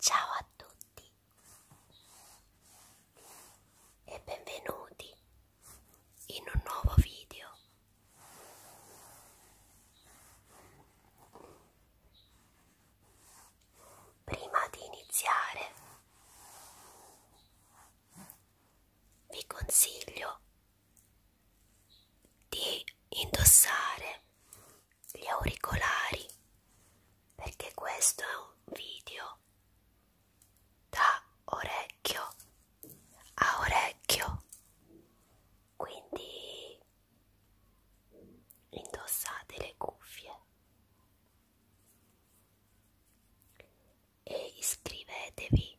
Ciao a tutti e benvenuti in un nuovo video. Prima di iniziare vi consiglio di indossare gli auricolari perché questo è un video da orecchio a orecchio quindi indossate le cuffie e iscrivetevi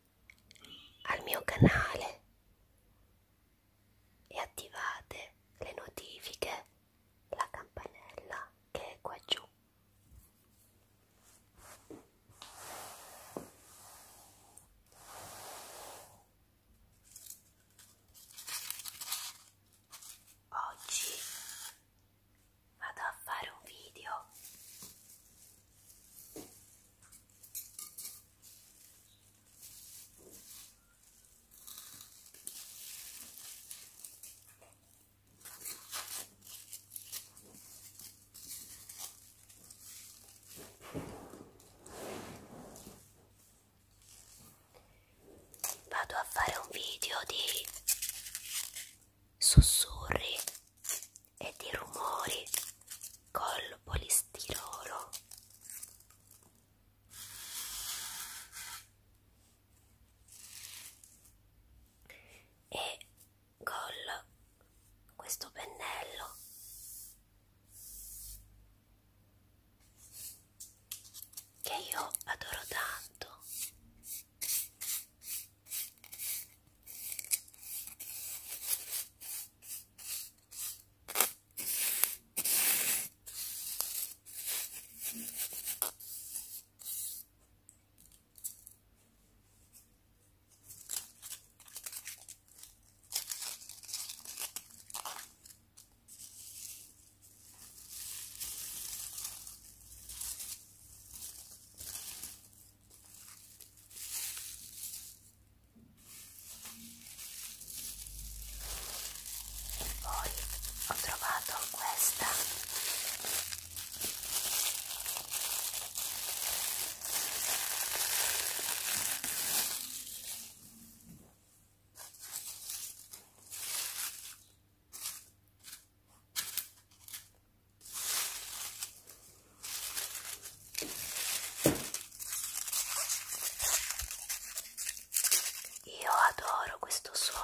al mio canale e attivate le notifiche, la campanella che è qua giù. Oggi vado a fare un video vado a fare un video di sussurri e di rumori col polistirolo e col questo pennello che io adoro tanto poi ho trovato questa io adoro questo suono.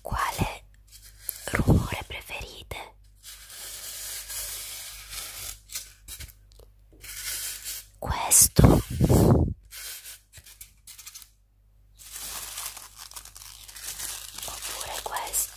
Quale rumore preferite? questo oppure questo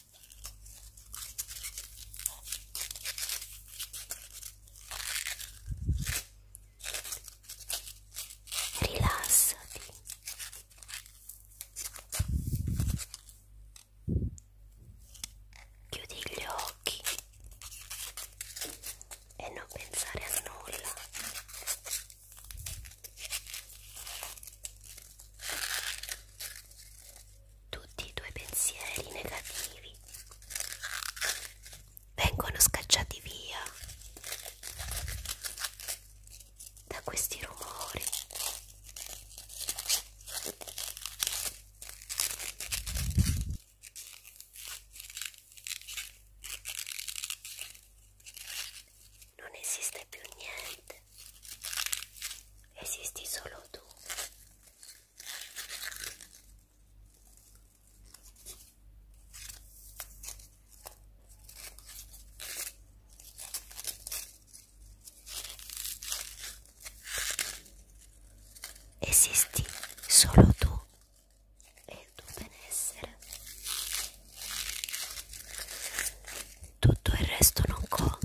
Rilassati. Chiudi gli occhi e non pensare a nulla tutti i tuoi pensieri negativi vengono scacciati via da questi rumori non esiste più niente esisti solo tu. Esisti solo tu e il tuo benessere. Tutto il resto non conta.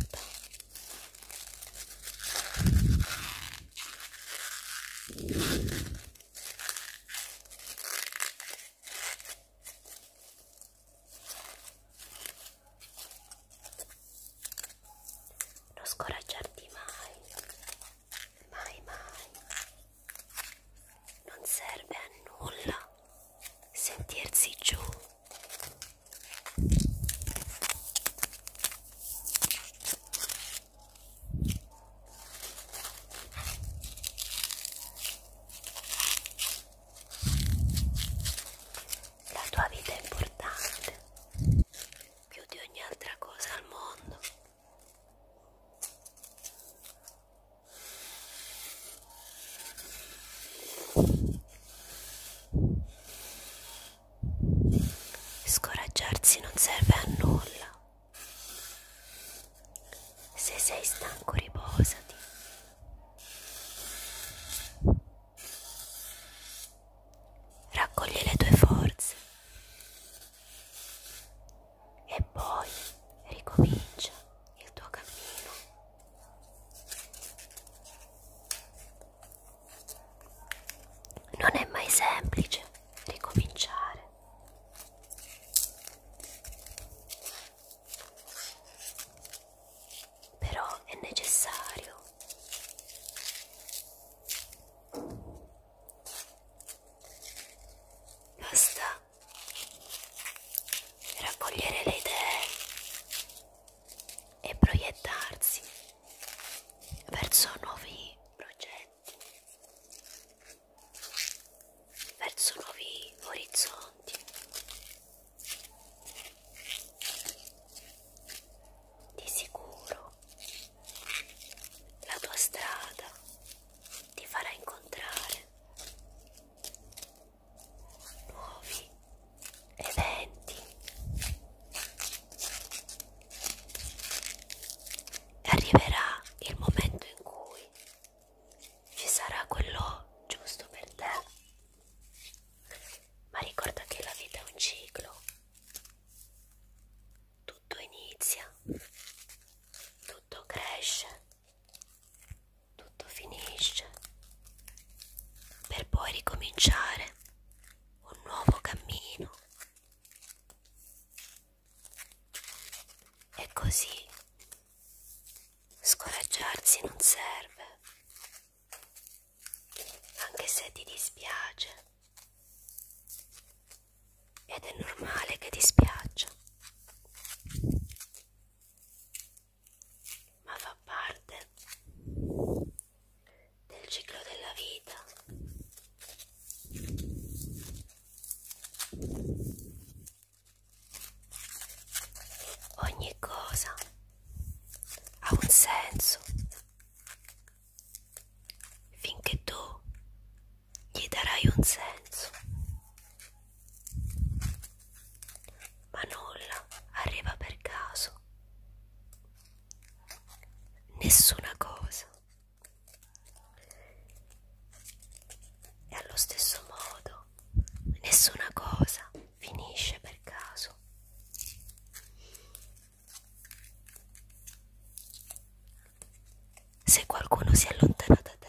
Non scoraggiarti mai, mai, mai. Non serve a nulla sentirsi giù la tua vita è importante, più di ogni altra cosa al mondo. Scoraggiarsi non serve a nulla. Se sei stanco riposati. Raccogli le tue forze e poi ricomincia il tuo cammino. Non è mai semplice ricominciare. Però è necessario. Basta raccogliere le idee e proiettarsi verso nuovi progetti, verso nuovi orizzonti. Di sicuro la tua strada ti farà incontrare nuovi eventi arriverà il momento in cui ci sarà quello giusto per te ma ricorda che la vita è un ciclo tutto inizia tutto cresce tutto finisce per poi ricominciare un nuovo cammino. E così scoraggiarsi non serve, anche se ti dispiace. Ed è normale che ti spiaccia ma fa parte del ciclo della vita. Ogni cosa ha un senso finché tu gli darai un senso ma nulla arriva per caso. Nessuna cosa. E allo stesso modo, nessuna cosa finisce per caso. Se qualcuno si allontana da te,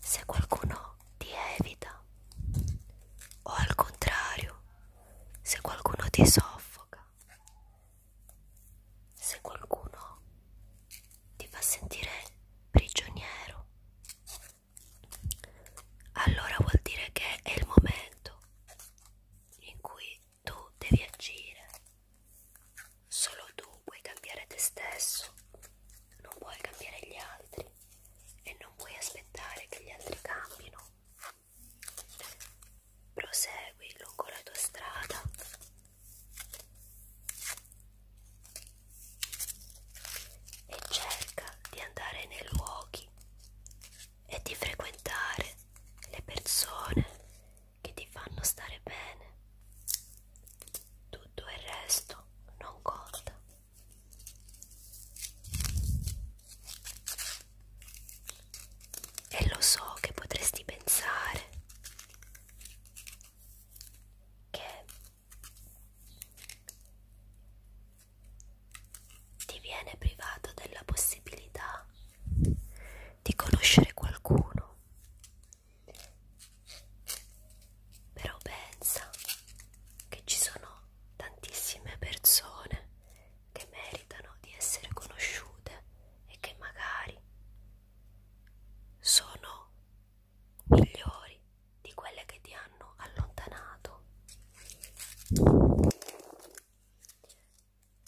se qualcuno ti evita o al contrario se qualcuno ti soffoca se qualcuno ti fa sentire prigioniero allora vuol dire che è il momento in cui tu devi agire solo tu puoi cambiare te stesso non puoi cambiare gli altri e non puoi aspettare che gli altri cambino. Prosegui lungo la tua strada. E cerca di andare nei luoghi e di frequentare le persone che ti fanno stare bene. Tutto il resto non conta. E lo so che potresti pensare che ti viene privato della possibilità di conoscere qualcuno però pensa che ci sono tantissime persone che meritano di essere conosciute e che magari sono migliori di quelle che ti hanno allontanato.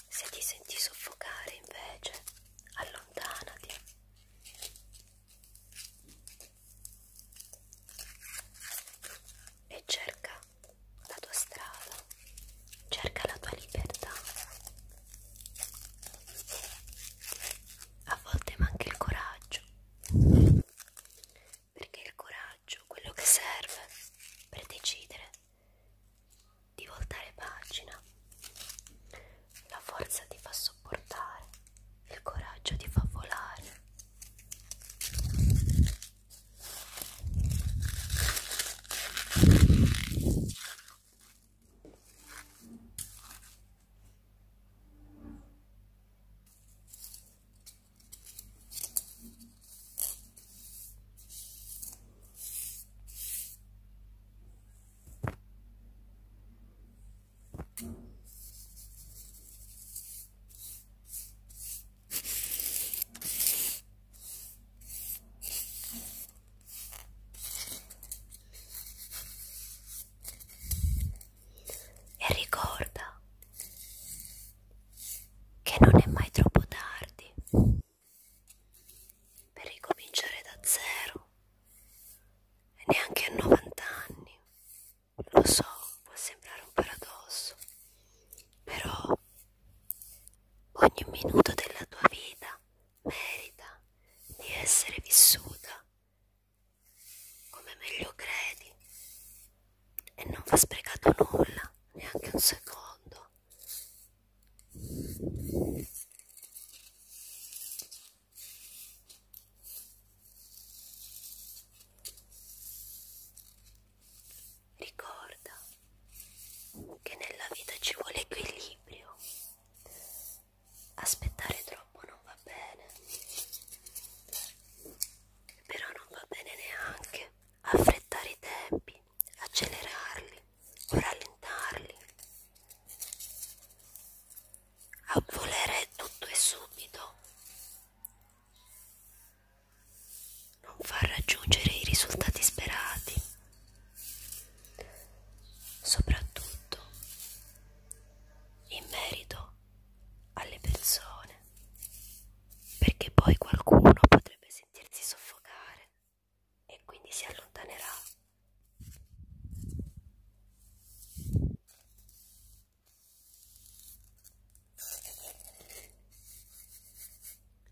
Se ti senti soffocare invece, allontanati e cerca la tua strada, cerca la tua libertà. A volte manca il coraggio, perché il coraggio, quello che serve per decidere di voltare pagina, la forza ti fa solo sopportare, il coraggio ti fa volare. E ricorda che non è mai troppo tardi per ricominciare da zero e neanche a 90 anni lo so, può sembrare un paradosso, però ogni minuto della tua vita merita di essere vissuta come meglio credi e non va sprecato nulla, neanche un secondo. Ricorda che nella vita ci vuole equilibrio. Aspettare troppo non va bene, però non va bene neanche affrettare i tempi, accelerarli o rallentarli a volere tutto e subito, non far raggiungere i risultati sperati, soprattutto in merito alle persone, perché poi qualcuno potrebbe sentirsi soffocare e quindi si allontanerà.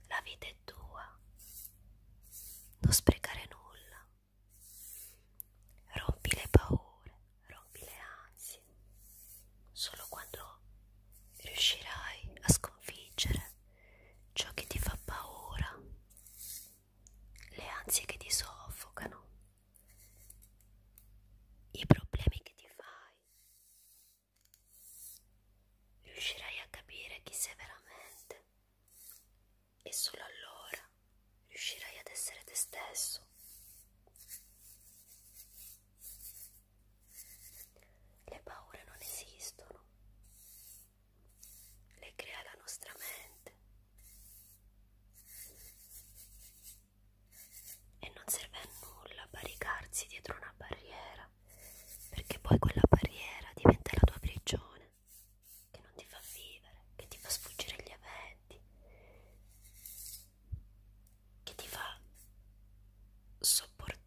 La vita è tua, non sprecare nulla, rompi le paure, rompi le ansie, solo quando riuscirai a sconfiggere ciò che ti fa paura, le ansie che ti soffocano i problemi che ti fai riuscirai a capire chi sei veramente e solo allora riuscirai ad essere te stesso le paure non esistono le crea la nostra mente e non serve a nulla barricarsi dietro una barriera perché poi quella barriera diventa la tua prigione che non ti fa vivere, che ti fa sfuggire gli eventi, che ti fa sopportare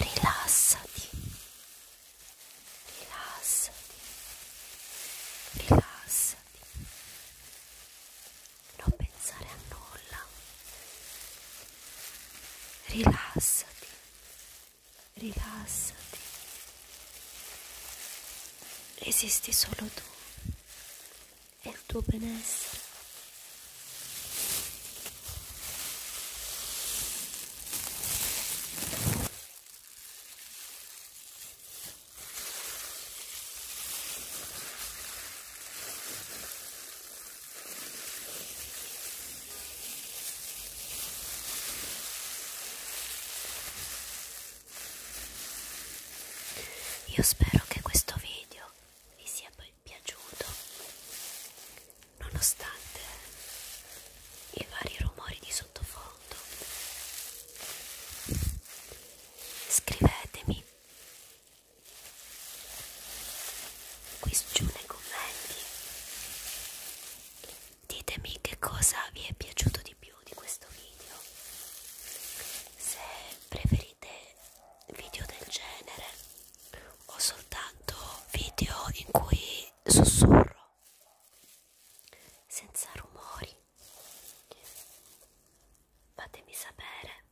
rilassati, rilassati, rilassati, non pensare a nulla, rilassati, rilassati, esisti solo tu e il tuo benessere. Io spero che questo video vi sia piaciuto è piaciuto nonostante i vari rumori di sottofondo scrivetemi qui giù nei commenti ditemi che cosa vi è piaciuto di più di questo video se preferite video del genere ho soltanto video in cui sussurro senza rumori fatemi sapere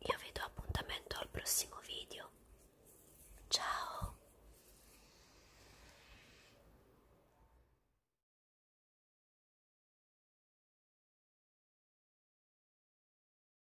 io vi do appuntamento al prossimo video ciao